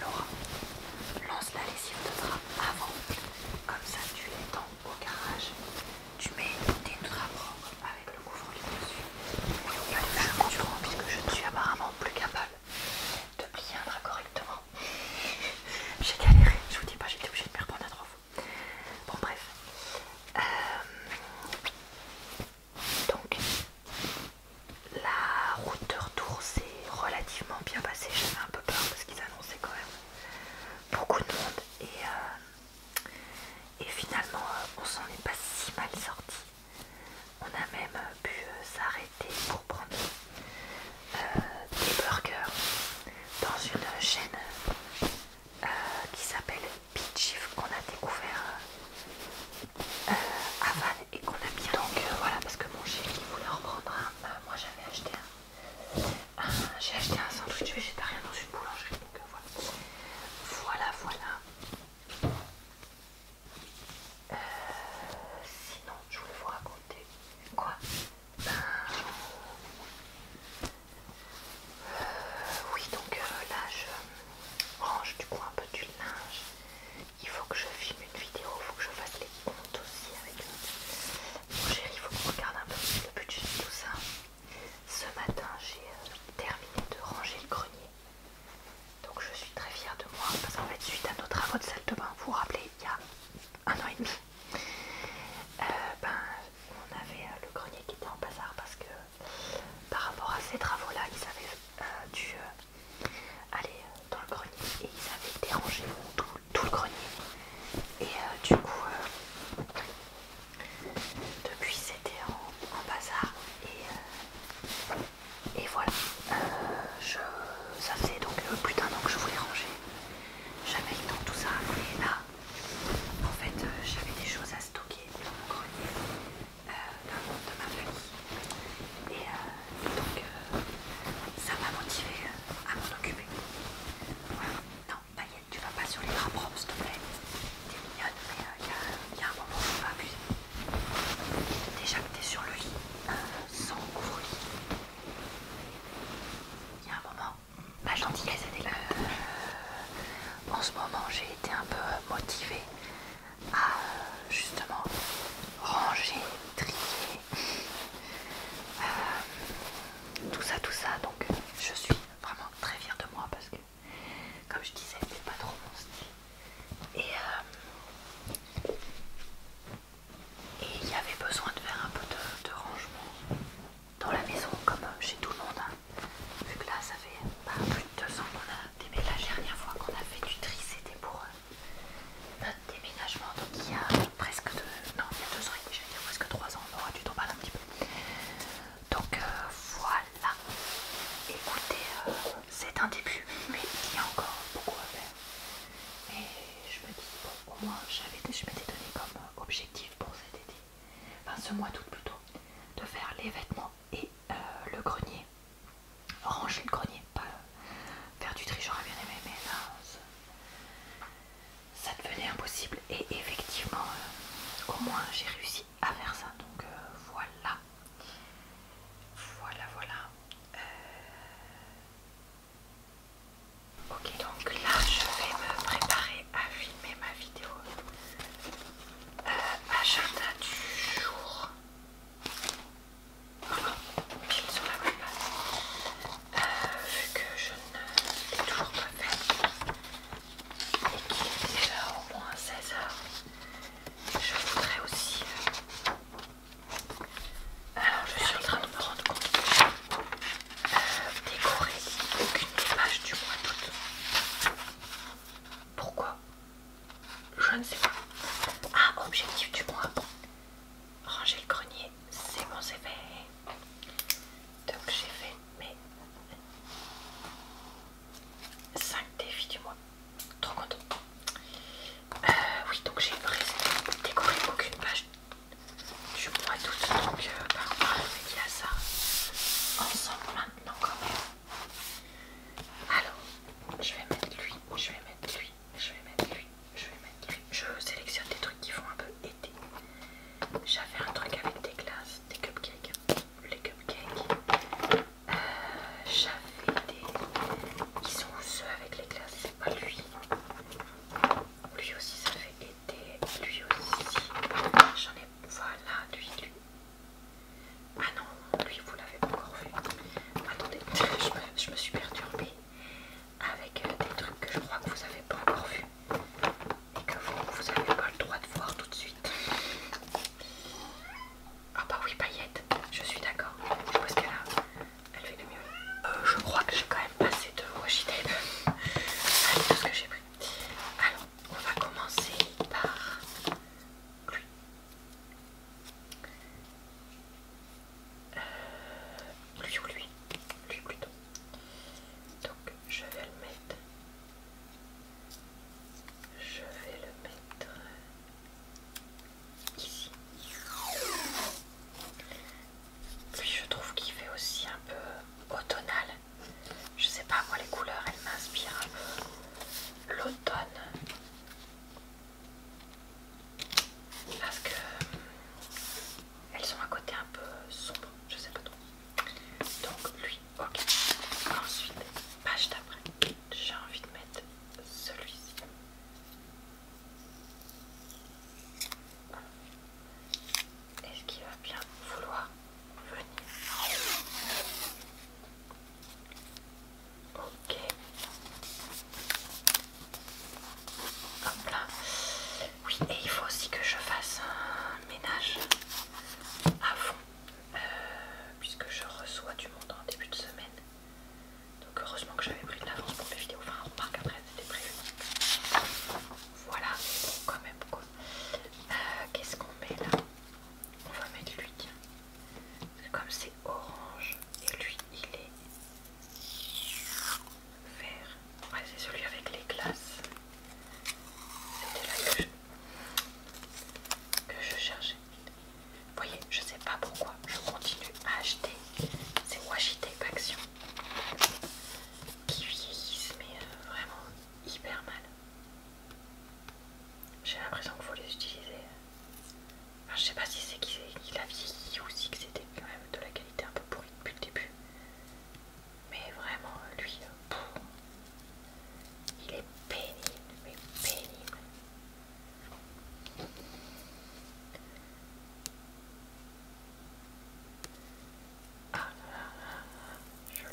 Laura lance la lessive de drap avant comme ça tu l'étends au garage tu mets tes draps propres avec le couvre-lit dessus. faire un fait durant puisque je ne suis apparemment plus capable de bien un correctement. j'ai galéré, je vous dis pas, j'étais obligée de me reprendre à trois fois. Bon, bref. Euh, donc, la route de retour s'est relativement bien passée. J'avais un peu peur parce qu'ils annonçaient quand même beaucoup de monde et. Euh, et finalement, euh, on s'en est pas si mal sorti. On a même euh, pu euh, s'arrêter pour prendre des burgers dans une chaîne qui s'appelle Pitchif qu'on a découvert à Van et qu'on a bien donc voilà parce que mon chéri voulait en prendre un. moi j'avais acheté un. J'ai acheté un sandwich végétarien dans une boulangerie donc voilà. Voilà voilà sinon, je voulais vous raconter quoi ben, Oui, donc euh, là, je range du coup un peu du linge. Il faut que je filme une vidéo, il faut que je fasse les comptes aussi avec mon chéri. Il faut qu'on regarde un peu le budget tout ça. Ce matin, j'ai euh, terminé de ranger le grenier. Donc je suis très fière de moi parce qu'en fait, suite à nos travaux de salle de bain, vous vous rappelez, il y a un an et demi, euh, ben, on avait euh, le grenier qui était en bazar parce que par rapport à ces travaux-là, ils avaient dû aller dans le grenier et ils avaient dérangé tout, le grenier. Et du coup, depuis c'était en, bazar et, euh, voilà. Euh, ça faisait donc euh, plus d'un an que je voulais ranger. J'avais eu tout ça et là en fait j'avais des choses à stocker dans mon grenier de ma famille. Et donc ça m'a motivé à m'en occuper. Voilà. Non, pas tu vas pas sur les draps propres s'il te plaît. T'es mignonne, mais il euh, y, a un moment où on va abuser. Déjà que t'es sur le lit, euh, sans couvrir. lit Il y a un moment, ma gentillesse est euh, là. en ce moment, j'ai été un peu motivée à justement ranger, trier, tout ça, tout ça. Donc, je suis vraiment très fière de moi parce que comme je disais, c'était pas trop mon style. Euh, et il y avait besoin de faire un peu de, rangement dans la maison, comme euh, chez tout le monde. Hein. Vu que là, ça fait bah, plus de deux ans qu'on a déménagé. La dernière fois qu'on a fait du tri, c'était pour euh, notre déménagement. Donc il y a presque deux, non, il y a deux ans et je dire presque trois ans, on aura temps mal un petit peu. Donc euh, voilà. Écoutez, euh, c'est un début, mais il y a encore beaucoup à faire. Mais je me dis, bon, au moins, je m'étais donné comme objectif pour cet été, enfin ce mois d'août plutôt, de faire les vêtements et euh, le grenier. Ranger le grenier, pas faire du tri, j'aurais bien aimé, mais là, ça devenait impossible. Et effectivement, au moins, j'ai réussi à faire ça donc euh, voilà voilà voilà euh, ok donc là je vais me préparer à filmer ma vidéo Ma euh, agenda du jour je pile sur la même vu que je ne l'ai toujours pas fait et qu'il est déjà au moins 16h. Je voudrais aussi. Euh, alors, je suis en train de me rendre compte euh, Décorer aucune page du mois d'août. Pourquoi Je ne sais pas. Ah, objectif du mois. Ranger le grenier, c'est mon effet Donc j'ai fait mes 5 défis du mois. Trop content. Euh, oui, donc j'ai décoré aucune page du mois d'août. Donc, euh, par on va y a ça ensemble maintenant quand même. Alors, je vais mettre lui, je vais mettre lui, je vais mettre lui, je vais mettre lui. Je sélectionne des trucs qui font un peu été. J'avais un truc avec des glaces, des cupcakes les cupcakes. Euh, j'avais des. Ils sont ceux avec les glaces, c'est pas lui. Lui aussi, ça fait été. Lui aussi. J'en ai. Voilà, lui, lui. Ah non, lui, vous l'avez pas encore vu. Attendez, je me suis perturbée avec euh, des trucs que je crois que vous avez pas encore vu et que vous n'avez pas le droit de voir tout de suite. Ah bah oui, paillettes, je suis d'accord. Je elle fait le mieux. Euh, je crois que j'ai quand même passé de washi tape tout ce que j'ai pris. Alors, on va commencer par lui. Euh, lui ou lui Lui plutôt. Donc je vais le mettre je vais le mettre ici. Puis je trouve qu'il fait aussi un peu automnal. Je sais pas, moi les couleurs, elles m'inspirent un peu l'automne. Parce que elles ont un côté un peu sombre, je sais pas trop. Donc lui, ok. Ensuite, page d'après, j'ai envie de mettre celui-ci. Est-ce qu'il va bien vouloir venir Ok. Hop là. Oui, et il faut aussi que je fasse un ménage à fond euh, puisque je reçois du monde en début de semaine. Donc heureusement que j'avais pris de l'avance pour les vidéos. Enfin, on remarque après, c'était prévu. Voilà, bon, quand même quoi. Euh, qu'est-ce qu'on met là On va mettre lui. comme c'est orange et lui il est vert. Ouais, c'est celui avec les glaces. C'était là que je, cherchais. Vous voyez, je sais pas pourquoi je continue à acheter ces tape Action qui vieillissent, mais euh, vraiment hyper mal. J'ai l'impression qu'il faut les utiliser. Je je sais pas si c'est qu'il a vieilli ou si c'était quand même de la qualité un peu pourrie depuis le début. Mais vraiment, lui, il est pénible, mais pénible. Ah je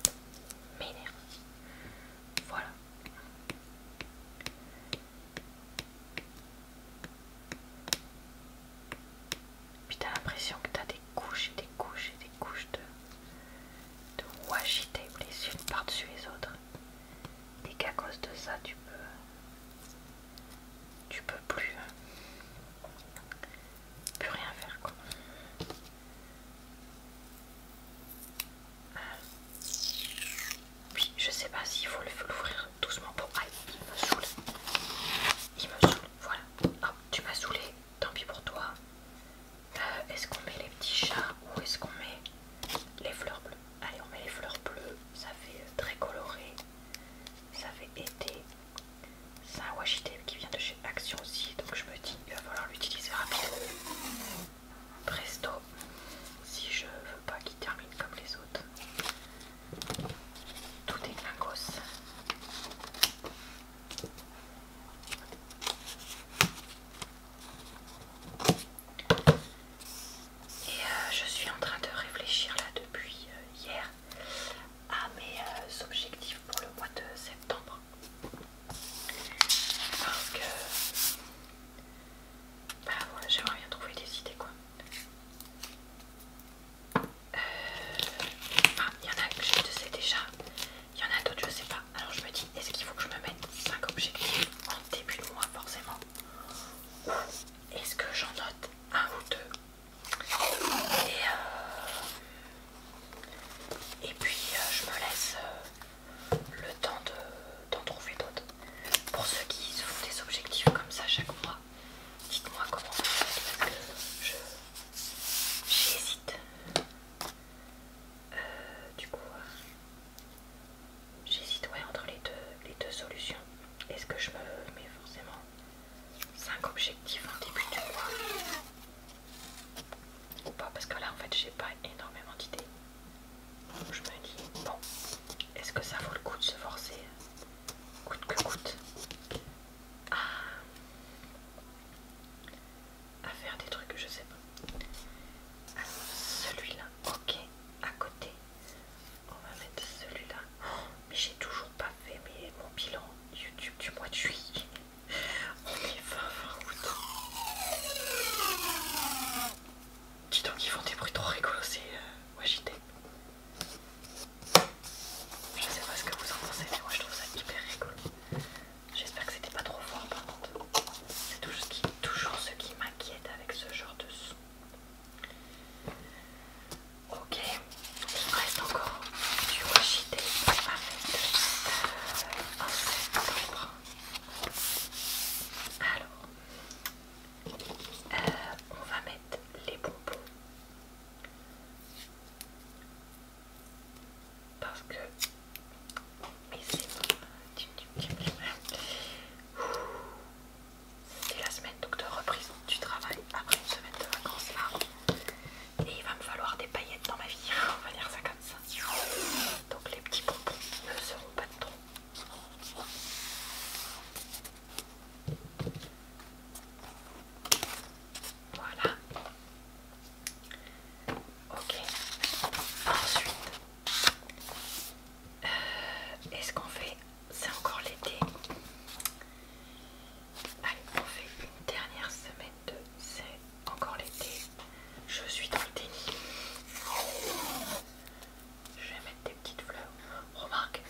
m'énerve. Voilà. Puis t'as l'impression que t'as des couches et des couches et des couches de, washi tape les par-dessus les autres et qu'à cause de ça tu peux tu peux plus rien faire quoi puis je sais pas si il faut l'ouvrir doucement pour... Aïe, il me saoule. Il me saoule, voilà. Hop, tu m'as saoulé tant pis pour toi. Euh, est-ce qu'on met les petits chats ou est-ce qu'on met les fleurs bleues Allez, on met les fleurs bleues, ça fait euh, très coloré, ça fait été. C'est un tape qui vient de chez Action aussi, donc je me dis il va falloir l'utiliser rapidement. Presto, si je veux pas qu'il termine comme les autres. Tout est et euh, je suis en train de réfléchir là depuis euh, hier à mes euh, objectifs pour le mois de septembre. Parce que bah j'aimerais bien trouver des idées quoi. il y en a que je sais déjà, il y en a d'autres, je sais pas. Alors je me dis, est-ce qu'il faut que je me mette 5 objectifs en début de mois, forcément Ou est-ce que j'en note un ou deux Et, euh, puis euh, je me laisse euh, le temps d'en trouver d'autres. Pour ceux qui se font des objectifs comme ça chaque mois, dites-moi comment vous faites j'hésite. Euh, du coup, euh, j'hésite entre les deux, solutions. Est-ce que je me mets forcément 5 objectifs en début du mois ou pas Parce que là, en fait, j'ai pas énormément d'idées. Donc je me dis, bon, est-ce que ça vaut le coup de se forcer coûte que coûte ah à faire des trucs, je sais pas. celui-là, ok, à côté. On va mettre celui-là. Oh, mais j'ai toujours pas fait mon bilan YouTube du mois de juillet. On est 20, 20 août. Dis donc, ils font des bruits trop rigolos, c'est wagite euh, Je sais pas ce que vous en pensez, mais moi je trouve ça hyper rigolo. J'espère que c'était pas trop fort par contre. C'est toujours ce qui, m'inquiète avec ce genre de son. Ok, il me reste encore du washi tape avec euh, Alors, on va mettre les bonbons parce que c'est la semaine docteur, de reprise du travail après une semaine de vacances là et il va me falloir des paillettes dans ma vie on va dire ça comme ça donc les petits bonbons ne seront pas de trop voilà Ok. Ensuite, euh, est-ce qu'on fait... C'est encore l'été. Allez, on fait une dernière semaine de... C'est encore l'été. Je suis dans le déni. Je vais mettre des petites fleurs. Remarque,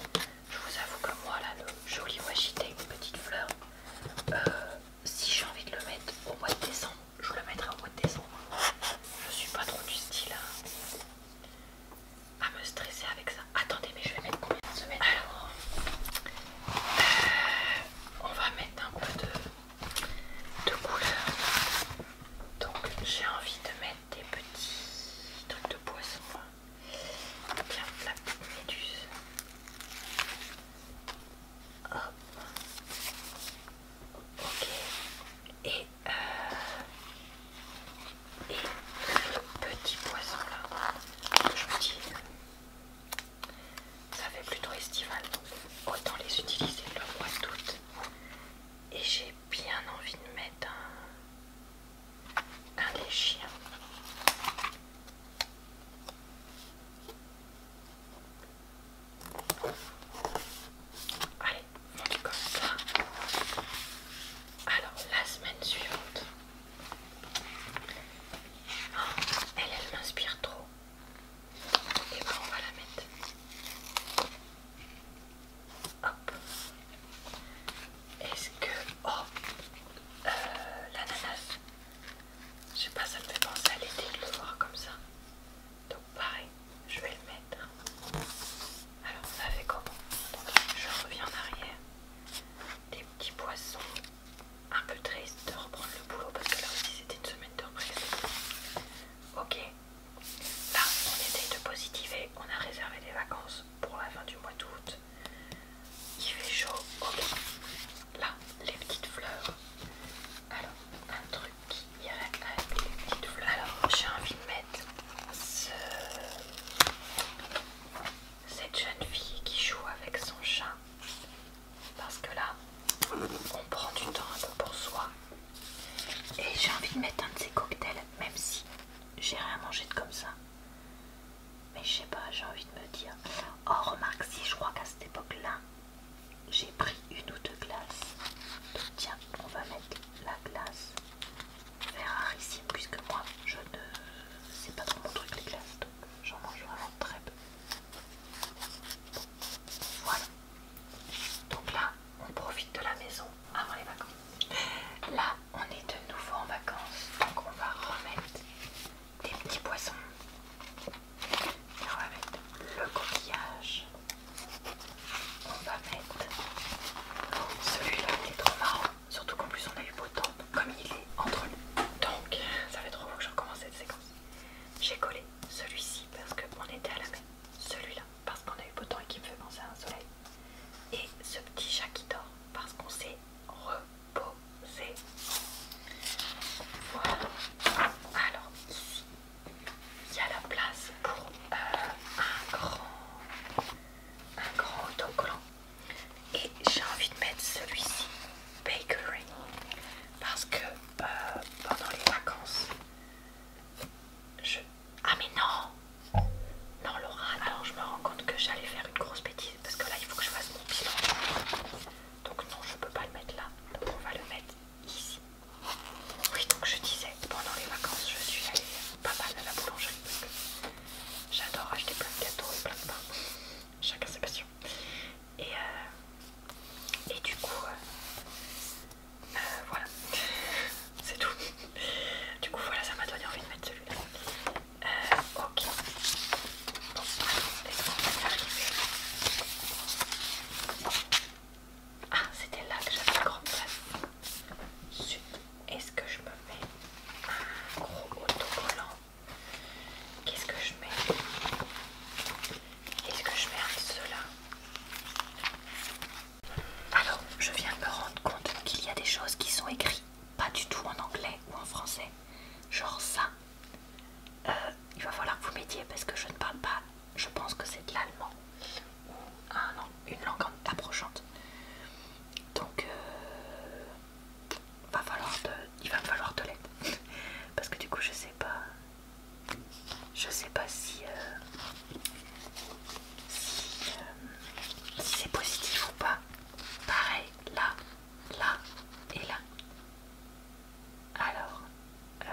je vous avoue que moi, là, le joli agité une petite fleur, euh, si j'ai envie de le mettre au mois de décembre, je le mettrai au mois de décembre. Je suis pas trop du style à, me stresser avec ça. Attendez, mais je vais mettre combien de semaines Alors, euh, on va mettre un peu de, de couleur. Donc, j'ai envie de mettre des petits trucs de poisson. Tiens, la petite méduse. Hop. Ok. Euh, et, le petit poisson là, je dis, ça fait plutôt estival, autant les utiliser le mois d'août. Et j'ai bien envie de mettre un, un des chiens. Allez, on fait comme ça. Alors, la semaine suivante. elle, elle m'inspire trop. Et ben, on va la mettre. Hop. Est-ce que... Oh euh, L'ananas. Je sais pas, ça me fait penser à l'été de le voir comme ça. Donc pareil, je vais le mettre. Alors ça fait comment Je reviens en arrière. Des petits poissons. Un peu triste de reprendre le boulot parce que là aussi c'était une semaine de reprise. Ok. Là, on essaye de positiver. On a réservé des vacances pour la fin du mois d'août. Il fait chaud, ok. Là, les petites fleurs. Alors, un truc qui irait avec les petites fleurs. Alors, j'ai envie de mettre cette jeune fille qui joue avec son chat. Parce que là, on prend du temps un peu pour soi. Et j'ai envie de mettre un de ces cocktails, même si j'ai rien mangé de comme ça mais je sais pas, j'ai envie de me dire. Oh, remarque, si je crois qu'à cette époque-là, j'ai pris une ou deux glaces. Donc, tiens, on va mettre la glace rarissime puisque moi, je ne. C'est pas trop mon truc, les glaces, donc j'en mange vraiment très peu. voilà. Donc là, on profite de la maison avant les vacances. Là, on est de nouveau en vacances, donc on va remettre des petits poissons. Et on va mettre le coquillage. On va mettre celui-là qui est trop marrant. Surtout qu'en plus on a eu beau temps, comme il est entre nous. Donc ça fait trop beau que je recommence cette séquence. J'ai collé celui-ci parce qu'on était à la main Celui-là parce qu'on a eu beau temps et qui me fait penser à un soleil. Et ce petit chat qui dort parce qu'on s'est re poser. Voilà. Alors ici, il y a la place pour euh, un grand, un grand autocollant. Et j'ai envie de mettre celui-ci, Bakery, parce que euh, pendant les vacances, je... Ah mais non Non Laura, alors je me rends compte que j'allais faire une grosse bêtise parce que là il faut que je fasse mon bilan. Donc non, je peux pas le mettre là. Donc on va le mettre ici. Oui, donc je disais, pendant les vacances, je suis allée pas mal à la boulangerie parce que j'adore acheter plein de gâteaux et plein de pain. Chacun ses passions. Euh, et, du coup, euh, euh, voilà, c'est tout. Du coup, voilà, ça m'a donné envie de mettre celui-là. Euh, ok. Ah, c'était là que j'avais le grande place. Zut, est-ce que je me mets un gros autocollant Qu'est-ce que je mets Qu'est-ce que je mets un de ceux-là alors, je viens de me rendre compte qu'il y a des choses qui sont écrites pas du tout en anglais ou en français. Genre ça, euh, il va falloir que vous m'aidiez parce que je ne parle pas, je pense que c'est de l'allemand ou une langue approchante. Donc euh, va falloir il va me falloir de l'aide parce que du coup je sais pas, je sais pas si, euh, si c'est positif ou pas. Pareil, là là et là. Alors, euh,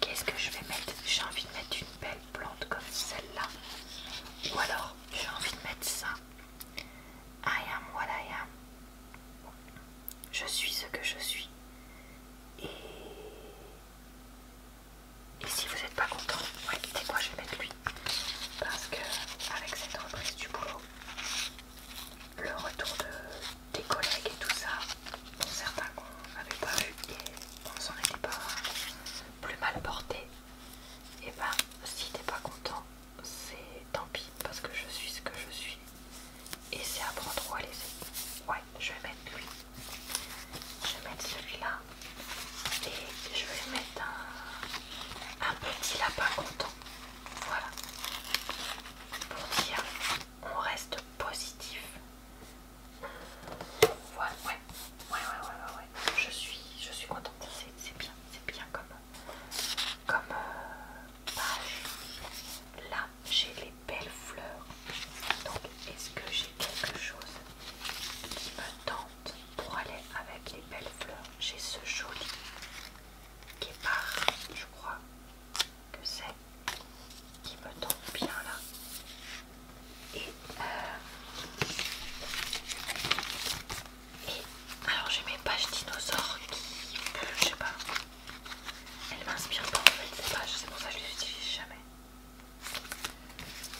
qu'est-ce que je vais mettre J'ai envie de mettre une belle plante comme celle-là. Ou alors, j'ai envie de mettre ça. I am what I am. Je suis ce que je suis. Et et si vous n'êtes pas content, ouais, moi, je vais mettre lui. Parce que avec cette reprise du boulot, le retour de, des collègues et tout ça, certains qu'on n'avait pas vu et on s'en était pas plus mal porté, et eh ben si t'es pas content, c'est tant pis parce que je suis ce que je suis. Et c'est à prendre ou à laisser. Ouais, je vais mettre lui. Je vais mettre celui-là et je vais mettre un, petit lapin content. Voilà. Pour dire, on reste positif. Voilà, ouais. Ouais, ouais, ouais, ouais, Je suis, je suis contente. C'est bien, c'est bien comme, comme euh, Là, j'ai les belles fleurs. Donc, est-ce que j'ai quelque chose qui me tend pour aller avec les belles fleurs. J'ai ce joli guépard, je crois que c'est, qui me tombe bien là. Et, euh, alors j'ai mes pages dinosaures qui, je sais pas, elles m'inspirent pas en fait ces pages, c'est pour ça que je les utilise jamais.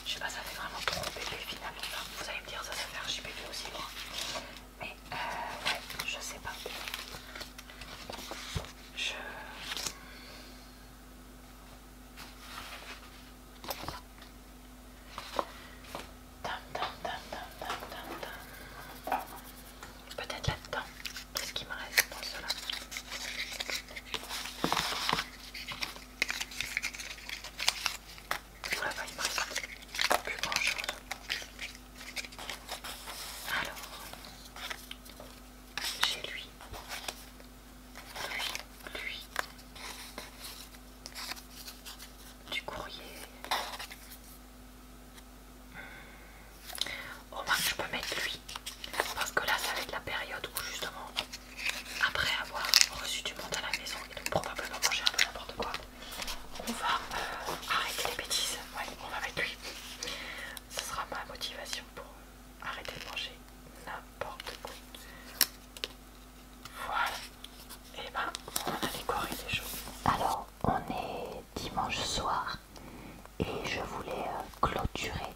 Je sais pas, ça fait vraiment trop bébé finalement. vous allez me dire, ça, ça fait archi bébé aussi, moi. Mais euh, ouais, je sais pas. Je. Peut-être là-dedans. Qu'est-ce qu'il me reste dans cela plus grand chose. Alors, j'ai lui, lui, lui, du courrier. Hmm. Oh moins, je peux mettre lui parce que là, ça va être la période où justement après avoir reçu du monde à la maison et donc probablement manger un peu n'importe quoi, on va euh, arrêter les bêtises. Ouais, on va mettre lui. Ce sera ma motivation pour arrêter de manger n'importe quoi. Voilà. Et eh ben, on a décoré les choses. Alors, on est dimanche soir et je voulais euh, clôturer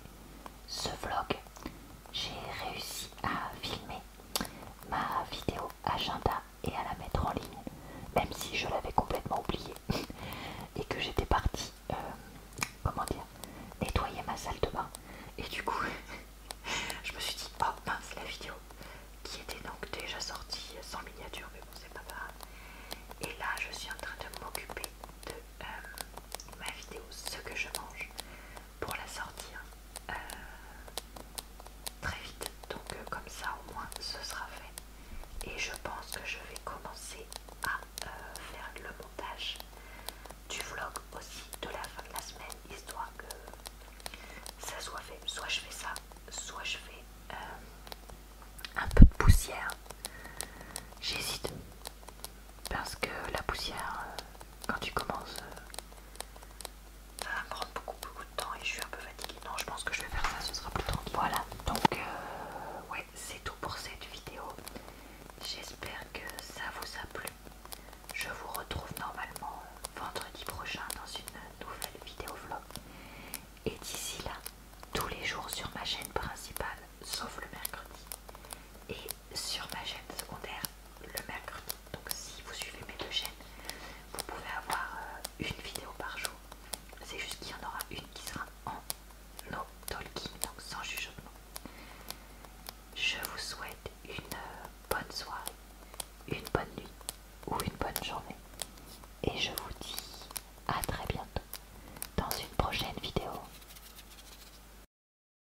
ce vlog. J'ai réussi à filmer ma vidéo agenda et à la mettre en ligne, même si je l'avais complètement oubliée et que j'étais partie, euh, comment dire, nettoyer ma salle de bain. Et du coup, je me suis dit, oh mince, la vidéo qui était donc déjà sortie sans miniature, mais bon, c'est pas grave. Et là, je suis en train de m'occuper de euh, ma vidéo, ce que je mange pour la sortir euh, très vite. Donc euh, comme ça au moins ce sera fait. Et je pense que je vais commencer à euh, faire le montage du vlog aussi de la fin de la semaine, histoire que ça soit fait. Soit je fais ça, soit je fais un peu de poussière. J'hésite parce que la poussière, euh, quand tu commences, euh, ça va prendre beaucoup beaucoup de temps et je suis un peu fatiguée. Non, je pense que je vais faire ça, ce sera plus tranquille. Voilà, donc euh, ouais, c'est tout pour cette vidéo. J'espère que ça vous a plu. Je vous retrouve normalement vendredi prochain dans une nouvelle vidéo vlog. Et d'ici là, tous les jours sur ma chaîne principale, sauf le mercredi. Et sur ma chaîne secondaire le mercredi. Donc si vous suivez mes deux chaînes, vous pouvez avoir euh, une vidéo par jour. C'est juste qu'il y en aura une qui sera en no talking, donc sans jugement Je vous souhaite une euh, bonne soirée, une bonne nuit ou une bonne journée. Et je vous dis à très bientôt dans une prochaine vidéo.